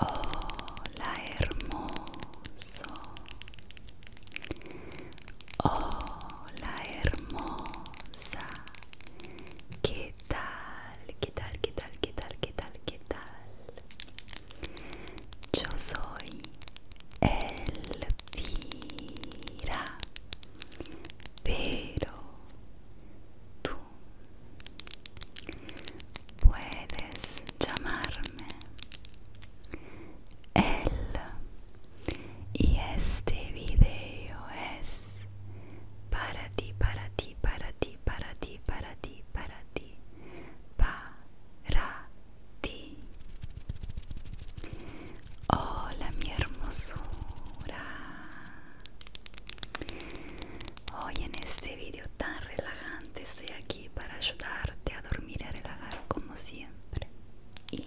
Hola hermoso, hola hermosa, ¿qué tal? ¿Qué tal? ¿Qué tal? ¿Qué tal? ¿Qué tal? ¿Qué tal? Yo soy Elvira, pero tú puedes llamarme él y este video es para ti, para ti, para ti, para ti, para ti, para ti, para ti. Hola mi hermosura. Hoy en este video tan relajante estoy aquí para ayudarte a dormir y a relajar como siempre. Y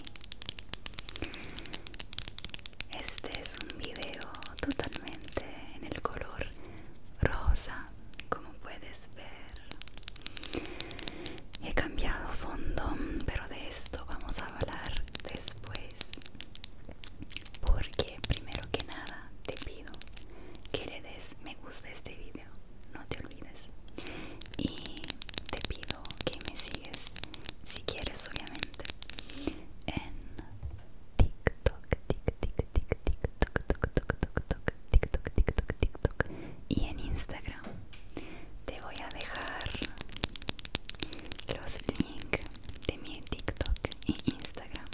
este es un video totalmente en el color rosa como puedes ver he cambiado fondo pero de esto vamos a hablar después porque primero que nada te pido que le des me gusta a este video no te olvides y te pido que me sigues si quieres obviamente en TikTok y en Instagram te voy a dejar los links de mi TikTok e Instagram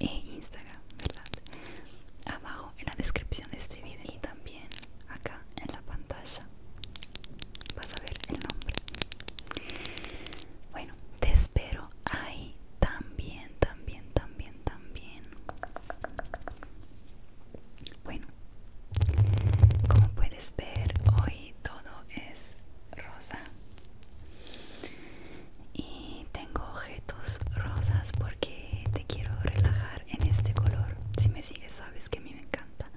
e Instagram, ¿verdad? Abajo en la descripción de este video y también acá en la pantalla vas a ver el nombre. Bueno, te espero Ay, también, también, también, también. Bueno, como puedes ver, hoy todo es rosa. Y tengo objetos rosas porque te quiero relajar en este color. Si me sigues, sabes que a mí me encanta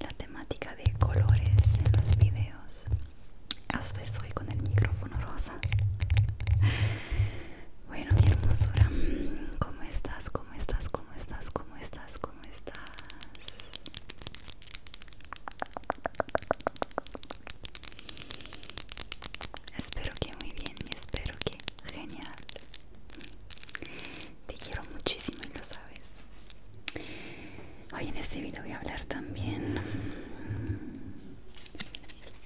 la temática de colores en los videos. Hasta estoy con el micrófono rosa. Bueno, mi hermosura, ¿cómo estás? ¿Cómo estás? ¿Cómo estás? ¿Cómo estás? ¿Cómo estás? Espero que muy bien espero que genial. Te quiero muchísimo y lo sabes. Hoy en este video voy a hablar también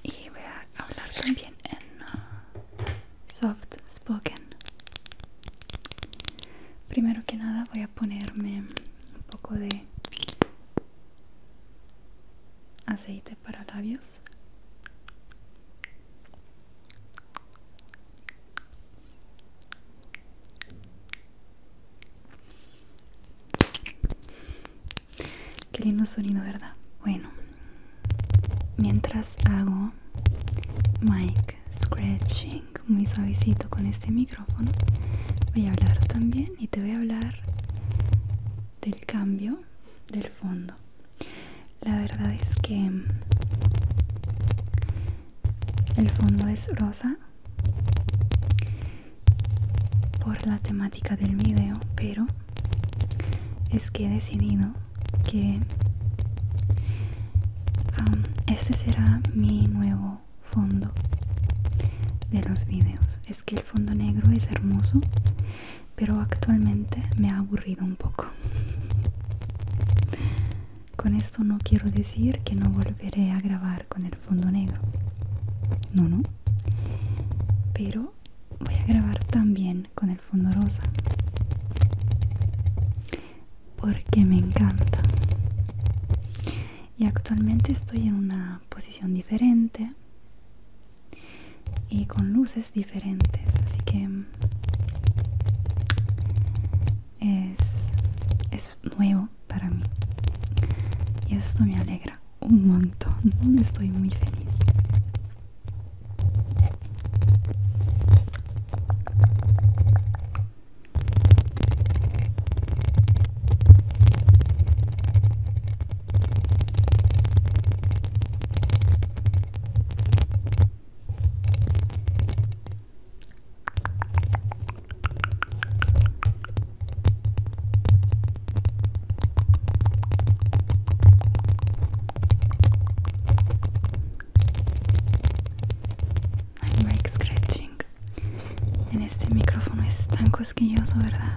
y voy a hablar también en uh, soft spoken primero que nada voy a ponerme un poco de aceite para labios Qué lindo sonido, ¿verdad? Bueno, mientras hago mic scratching muy suavecito con este micrófono, voy a hablar también y te voy a hablar del cambio del fondo. La verdad es que el fondo es rosa por la temática del video pero es que he decidido que um, este será mi nuevo fondo de los videos es que el fondo negro es hermoso pero actualmente me ha aburrido un poco con esto no quiero decir que no volveré a grabar con el fondo negro no no pero voy a grabar también con el fondo rosa porque me encanta y actualmente estoy en una posición diferente y con luces diferentes así que es, es nuevo para mí y esto me alegra un montón estoy muy feliz hay like scratching. En este micrófono es tan cosquilloso, ¿verdad?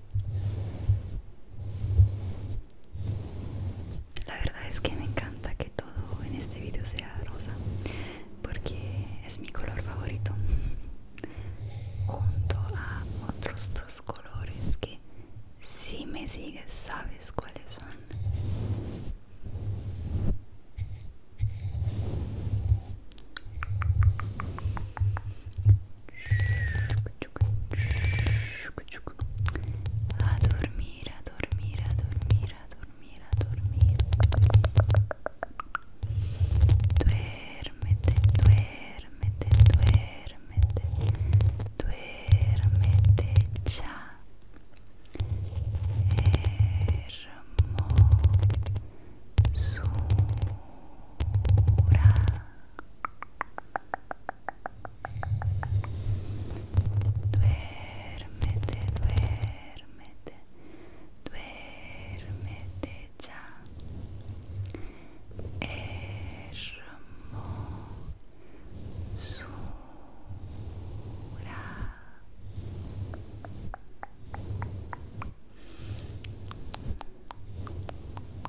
La verdad es que me encanta que todo en este video sea rosa porque es mi color favorito junto a otros dos colores que si me sigues sabes cuáles son a dormir, a dormir, a dormir, a dormir, a dormir. Duérmete, duérmete, duérmete. Duérmete ya. Hermosura. Duérmete, duérmete, duérmete ya. Hermosura.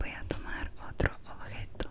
Voy a tomar otro objeto.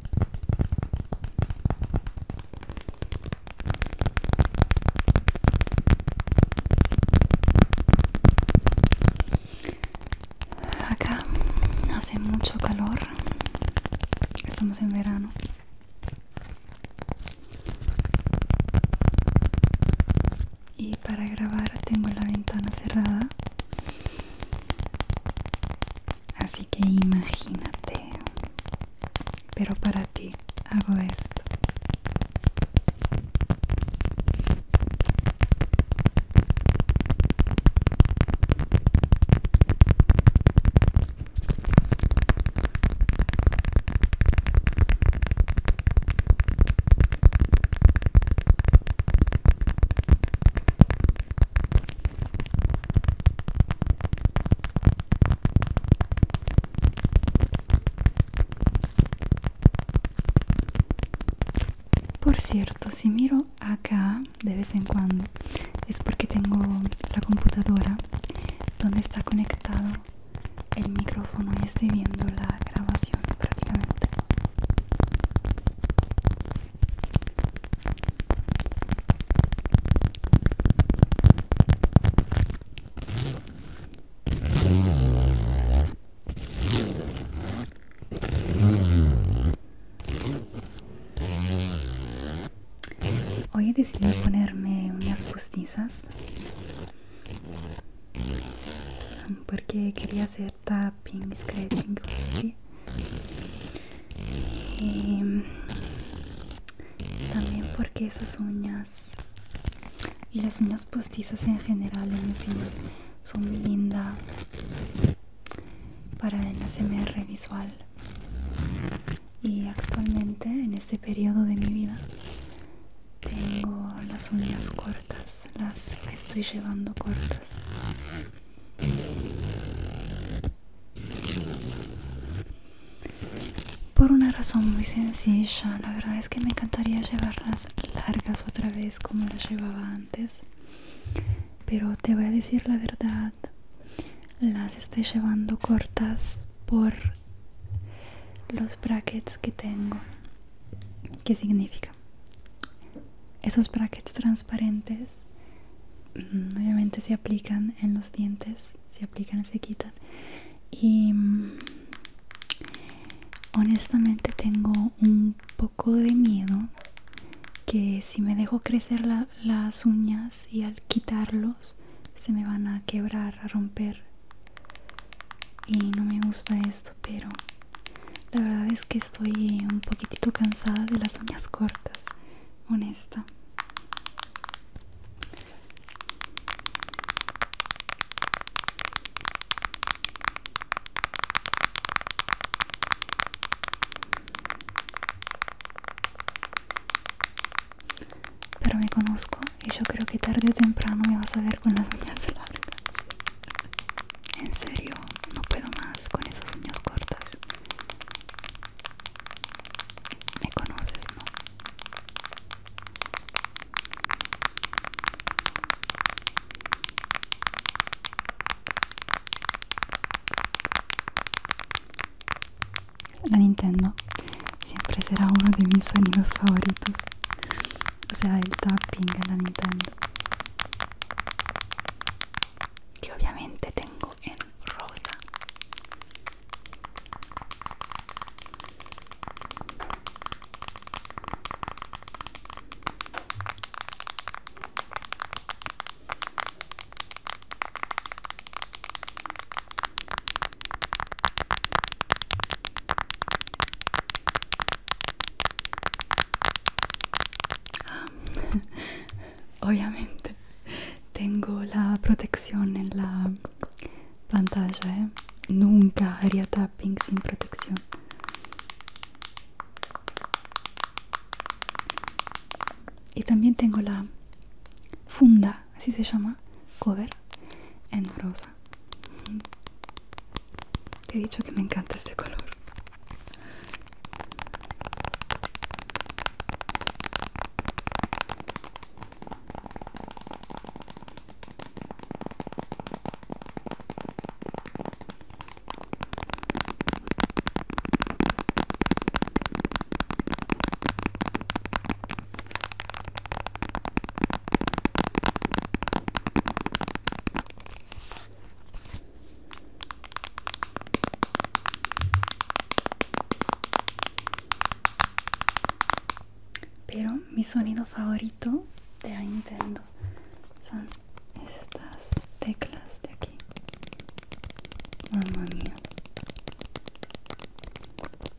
Acá hace mucho calor, estamos en verano. Y para grabar tengo la ventana cerrada Así que imagínate, pero para ti hago esto. Por cierto, si miro acá de vez en cuando es porque tengo la computadora donde está conectado el micrófono y estoy viendo la grabación prácticamente Hoy decidí ponerme unas postizas porque quería hacer tapping, scratching y también porque esas uñas y las uñas postizas en general en mi son muy lindas para el ASMR visual y actualmente en este periodo de mi vida tengo las uñas cortas las estoy llevando cortas por una razón muy sencilla la verdad es que me encantaría llevarlas largas otra vez como las llevaba antes pero te voy a decir la verdad las estoy llevando cortas por los brackets que tengo ¿Qué significa? Esos brackets transparentes mm, obviamente se aplican en los dientes, se aplican y se quitan. Y mm, honestamente tengo un poco de miedo que si me dejo crecer las uñas y al quitarlos se me van a quebrar, a romper. Y no me gusta esto pero la verdad es que estoy un poquitito cansada de las uñas cortas honesta pero me conozco y yo creo que tarde o temprano me vas a ver con las uñas largas en serio, no puedo más con esas uñas cortas. Me conoces, ¿no? La Nintendo siempre será uno de mis sonidos favoritos o sea el tapping en la Nintendo que obviamente tengo en rosa obviamente tengo la protección en la pantalla, ¿eh? nunca haría tapping sin protección. Y también tengo la funda, así se llama, cover en rosa. Te he dicho que me encanta este color. Pero mi sonido favorito de Nintendo son estas teclas de aquí. Mamma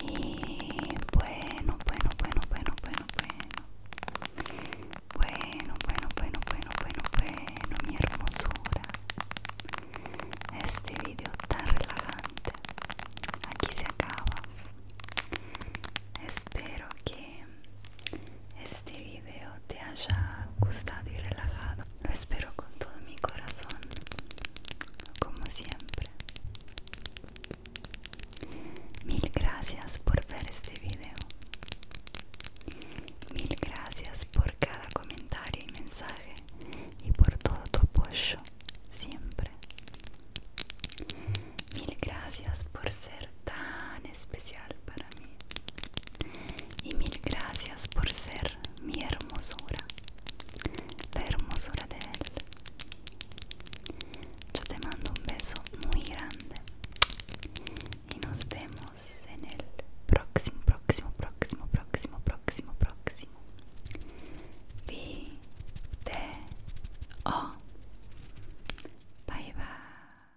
Y bueno, bueno, bueno, bueno, bueno, bueno. Bueno, bueno, bueno, bueno, bueno, bueno, mi hermosura. Este video tan relajante. Aquí se acaba. Espero que este video te haya gustado y relajado. Lo espero con todo mi corazón, como siempre. Mil gracias por ver este video. Mil gracias por cada comentario y mensaje y por todo tu apoyo siempre. Mil gracias por ser tan especial para mí y mil gracias por ser mi hermosura, la hermosura de él. Yo te mando un beso muy grande y nos vemos en el próximo, próximo, próximo, próximo, próximo, próximo. O. Bye bye.